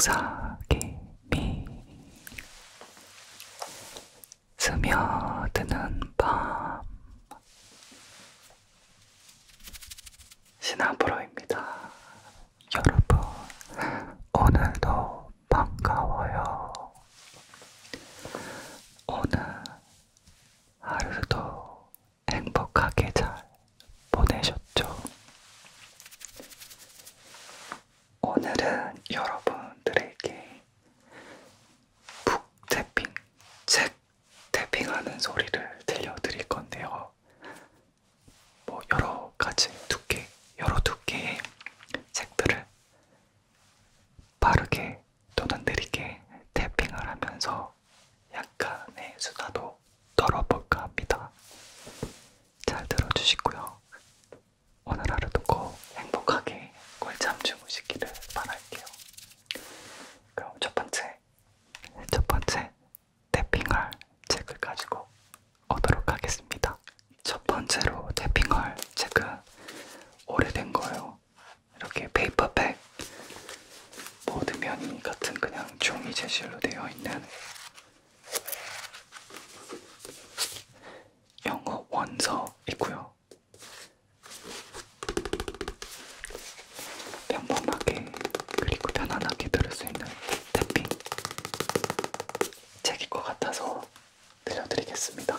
속삭임이 스며드는 밤 신하브로입니다. 여러분 오늘도 반가워요. 오늘 하루도 행복하게 잘 보내셨죠? 오늘은 여러분들에게 북 태핑, 책 태핑하는 소리를 들려드릴 건데요. 뭐 여러 가지 두께, 여러 두께의 책들을 빠르게 또는 느리게 태핑을 하면서 하면서 약간의 수다도 떨어볼까 합니다. 잘 들어주시고요. 오늘 하루도 꼭 행복하게 꿀잠 주무시기를 바랄게요. 그럼 첫 번째, 첫 번째 탭핑할 책을 가지고 오도록 하겠습니다. 첫 번째로 탭핑할 책은 오래된 거예요. 이렇게 페이퍼백 이렇게 모든 면이 같은 그냥 종이 재질로 되어 있는 영어 원서이고요. 평범하게 그리고 편안하게 들을 수 있는 태핑 책일 것 같아서 들려드리겠습니다.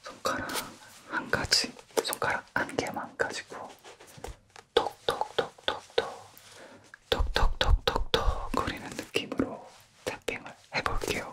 손가락 한 가지, 손가락 한 개만 가지고 톡톡톡톡톡 톡톡톡톡톡 거리는 느낌으로 탭핑을 해볼게요.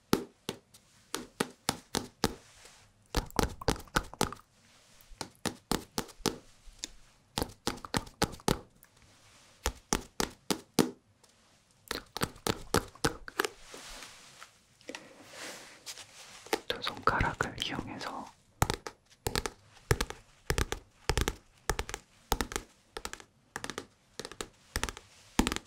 두 손가락을 이용해서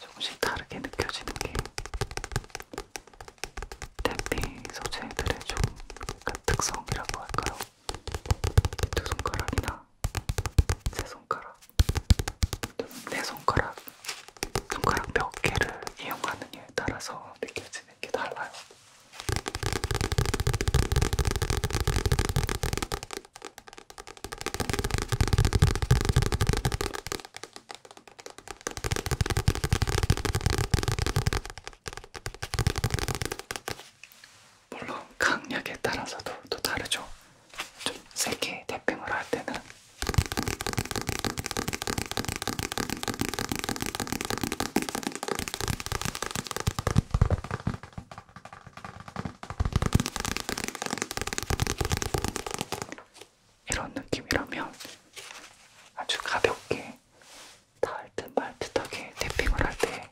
조금씩 다르게 느껴지는 게 태핑 소재들의 좀 특성이라고 할까요? 두 손가락이나 손가락, 제 손가락, 내 손가락, 손가락 몇 개를 이용하느냐에 따라서 느껴지는 게 달라요. 물론 강약에 따라서도 또 다르죠. 좀 세게 태핑을 할 때는 이런 느낌이라면 아주 가볍게 닿을 듯 말 듯하게 태핑을 할때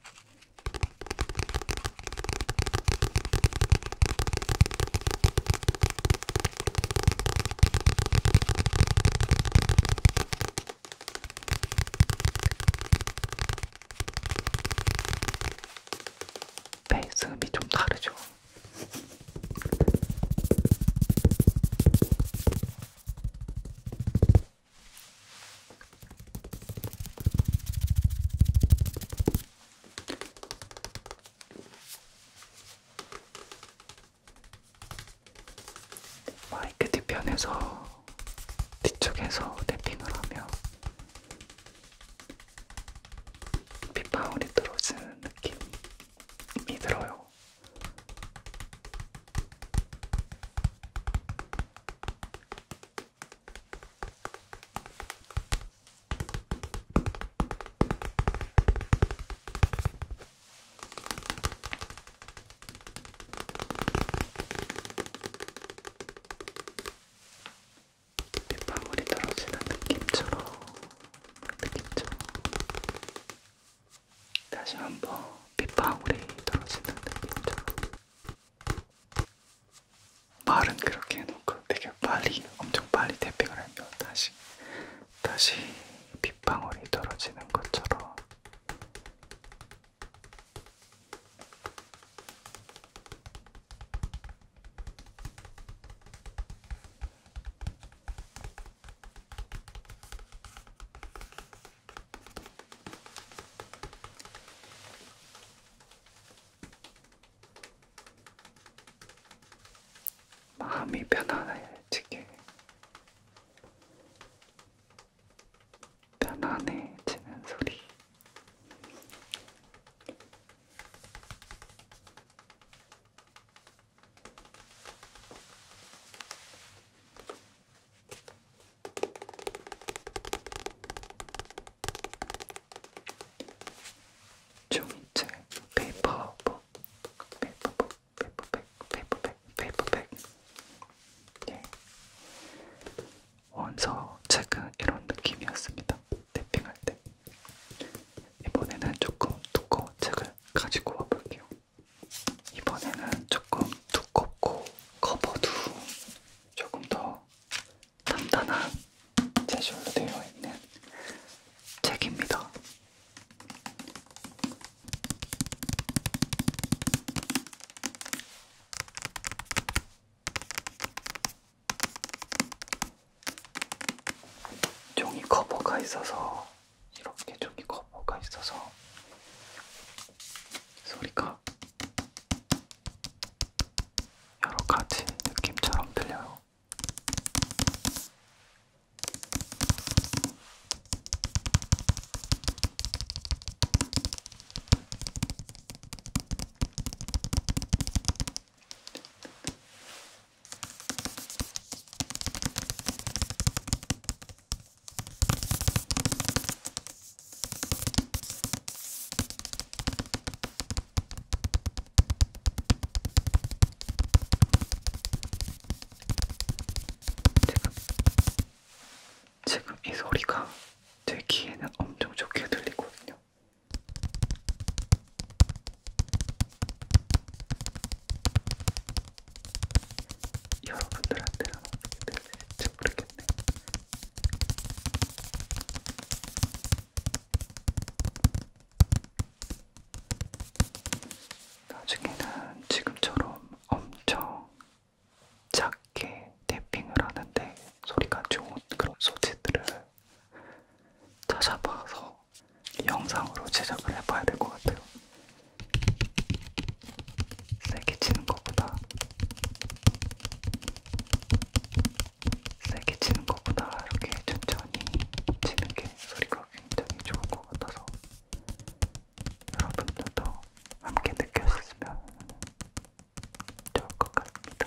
베이스음이 네, 좀 다르죠. 마이크 뒤편에서 뒤쪽에서 대핑을 하며 빗방울이 들어오는 느낌이 들어요. 빗방울이 떨어지는 느낌처럼 느낌처럼 다시 한번 빗방울이 떨어지는 느낌처럼 말은 그렇게 해놓고 되게 빨리 엄청 빨리 태핑을 하면 다시 다시 빗방울이 떨어지는 것처럼 마음이 편안해지게 편안해지는 소리 종이책, 페이퍼북, 페이퍼북, 페이퍼백, 페이퍼백, 페이퍼백. 예. 원서 책은 이런 느낌이었습니다. 탭핑할 때. 이번에는 조금 두꺼운 책을 가지고 와볼게요. 이번에는 조금 두껍고 커버도 조금 더 단단한 제술로 되어 있는 책입니다. 종이 커버가 있어서 이렇게 종이 커버가 있어서 소리가 여러 가지 느낌처럼 들려요. 지금, 지금 이 소리가 제 귀에는 엄청 좋게 들리거든요. 여러분들한테는 어떻게 들릴지 모르겠어요. 맛있겠네. 나중에는 지금처럼 엄청 작게 탭핑을 하는데 소리가 좋은 그런 소재들을 찾아봐서 영상으로 제작을 해봐야 될 것 같아요. 세게 치는 것보다 세게 치는 것보다 이렇게 천천히 치는 게 소리가 굉장히 좋은 것 같아서 여러분들도 함께 느꼈으면 좋을 것 같습니다.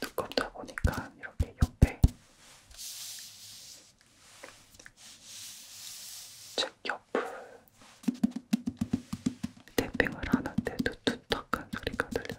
두껍다 보니까 이렇게 옆에 책 옆을 탭핑을 하는데도 툭툭한 소리가 들려요.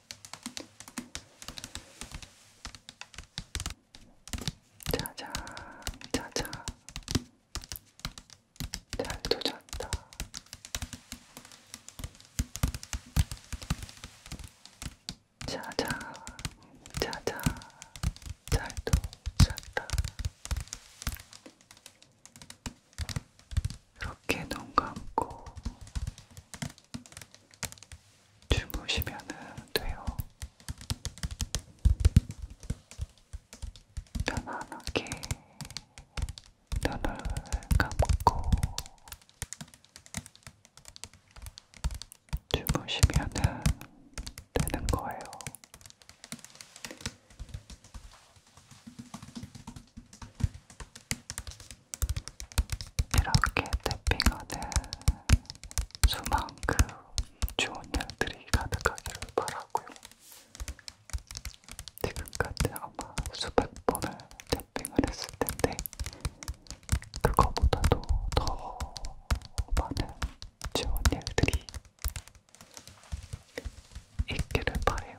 자자, 자자. 잘도 잤다. 자자, 자자. 잘도 잤다. 이렇게 눈 감고 주무시면 돼요. 편안하게 눈을 감고 주무시면 되는 거예요. 이렇게 탭핑하는 수만큼 좋은 일들이 가득하기를 바라고요. 지금까지 아마 수백 번을 탭핑을 했을 텐데 그거보다도 더 많은 좋은 일들이 있기를 바래요.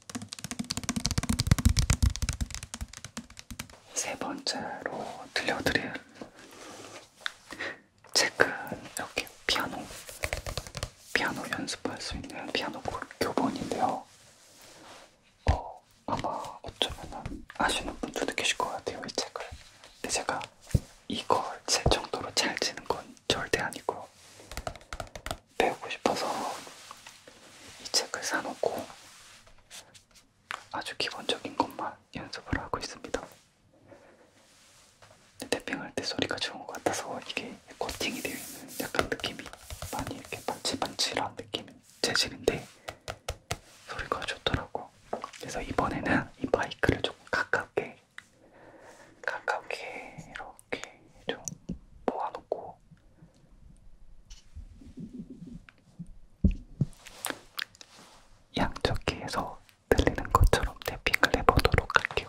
세 번째로 들려드릴 책은 이렇게 피아노, 피아노 연습할 수 있는 피아노 교본인데요. 어, 아마 어쩌면 아시는 분들도 계실 것 같아요, 이 책을. 근데 제가 이걸 제 정도로 잘 치는 건 절대 아니고 배우고 싶어서 이 책을 사놓고 아주 기본적인 것만 연습을 하고 있습니다. 태핑할 때 소리가 좋은 것 같아서 이게 코팅이 되어 있는 약간 느낌이 많이 이렇게 반칠반칠한 느낌 재질인데 소리가 좋더라고. 그래서 이번에는 이 마이크를 조금 가깝게 가깝게 이렇게 좀 모아놓고 양쪽 귀에서 들리는 것처럼 탭핑을 해보도록 할게요.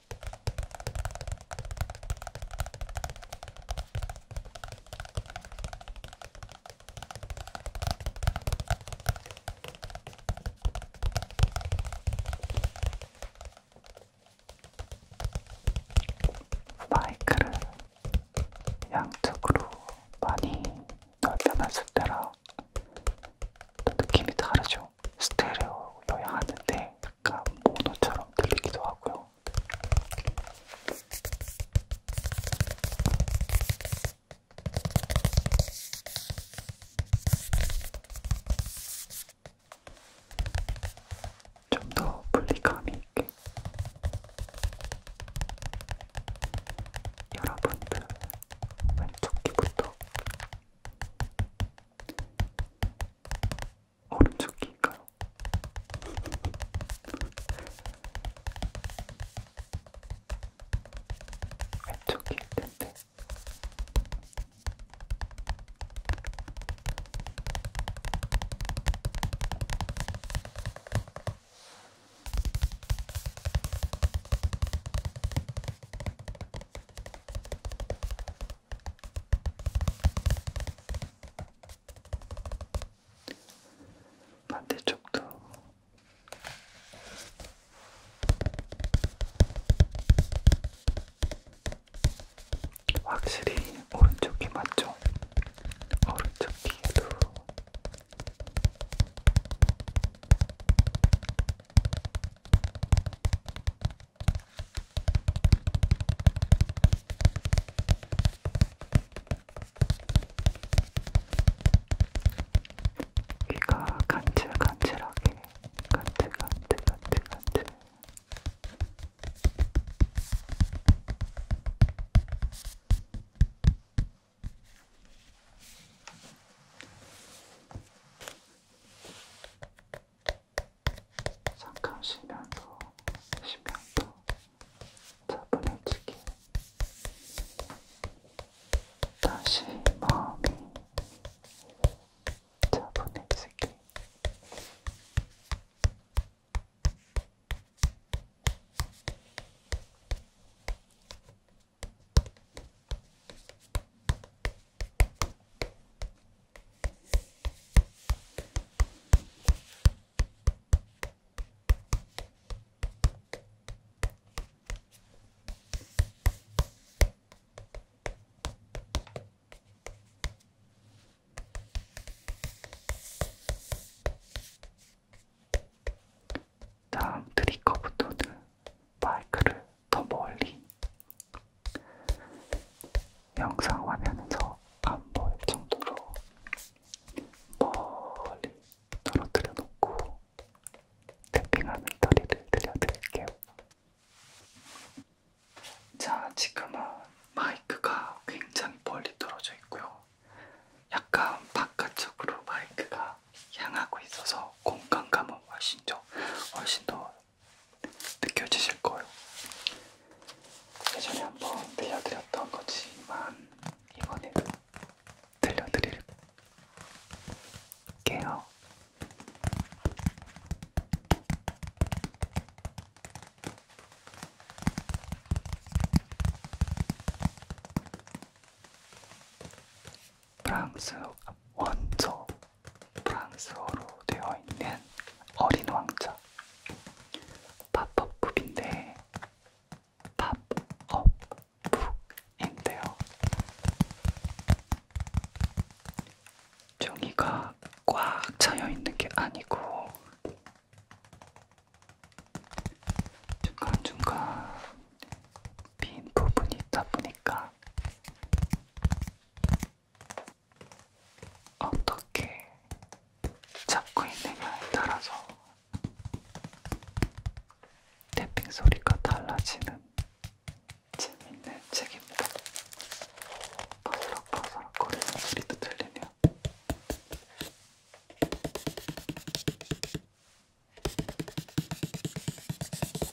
마이크를 양쪽으로 많이 넓혀놨을 때라 또 느낌이 다르죠. 같아요. 스테레오여야 하는데 약간 모노처럼 들리기도 하고요. 좀 더 분리감이 있게 여러분들 왼쪽 귀부터 오른쪽인가요? 왼쪽일 텐데. 반대쪽도 확실히 오른쪽이 맞죠? 오른쪽 귀에도 귀가 간질간질하게 간질간질간질간질 잠깐 쉬면서 쉬면서 차분해지게 다시 마음이 차분해지게 다음 트리커부터는 마이크를 더 멀리 영상 화면에서 안 보일 정도로 멀리 떨어뜨려 놓고 탭핑하는 소리를 들려드릴게요. 자, 지금은 마이크가 굉장히 멀리 떨어져 있고요. 약간 바깥쪽으로 마이크가 향하고 있어서 공간감은 훨씬, 더, 훨씬 더 느껴지실 거예요. 예전에 한번 들려드렸던 거지만 이번에도 들려드릴게요. 프랑스 원조 프랑스어로 되어 있는 어린 왕자 팝업북인데 팝업북인데요. 종이가 꽉 차여 있는 게 아니고 중간중간 빈 부분이 있다 보니까 어떻게 잡고 있느냐에 따라서 탭핑 소리가 달라지는 재밌는 책입니다. 바스락바스락 거리는 소리도 들리네요.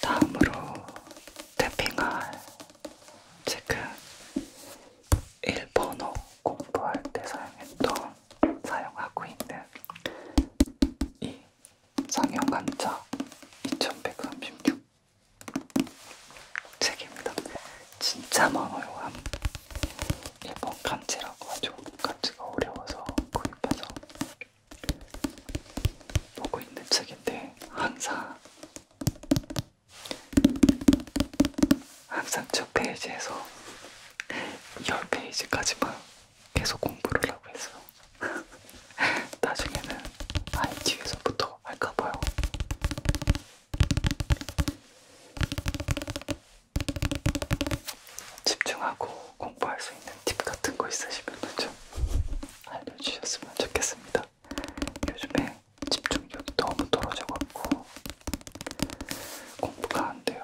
다음으로 태핑할 지금 일본어 공부할 때 사용했던, 사용하고 있는 이 상영관자 2136 책입니다. 진짜 많아요. 일본 간지라고 아주 간지가 어려워서 구입해서 보고 있는 책인데 항상 항상 첫 페이지에서 10페이지까지만 계속 공부를 하고 있어요. 나중에는 아예 뒤에서부터 할까봐요. 집중하고 공부할 수 있는 팁 같은 거 있으시면 좀 알려주셨으면 좋겠습니다. 진짜 요즘에 집중력이 너무 떨어져갖고 공부가 안 돼요.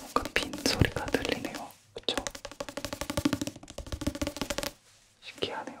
뭔가 빈 소리가 들리네요. 그쵸? 신기하네요.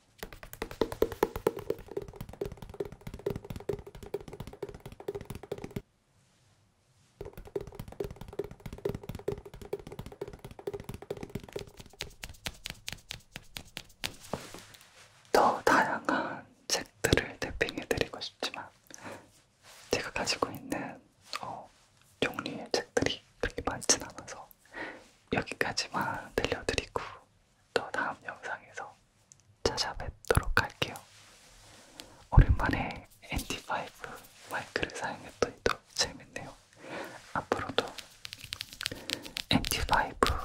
더 다양한 책들을 대핑해드리고 싶지만 제가 가지고 있는 어, 종류의 책들이 그렇게 많진 않아서 여기까지만 들려드리고 또 다음 영상에서 찾아뵙도록 할게요. 오랜만에 NT5 마이크를 사용했더니 또 재밌네요. 앞으로도 NT5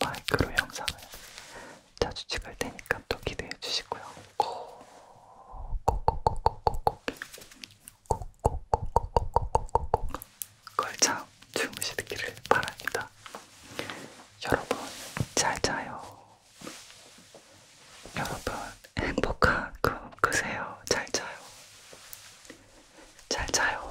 마이크로 영상을 자주 찍을 테니까 또 기대해 주시고요. 고고고고고고 꼭꼭꼭꼭꼭꼭꼭꼭 걸참 주무시기를 바랍니다. 여러분 잘 자요. 여러분 행복한 꿈 꾸세요. 잘 자요. 잘 자요.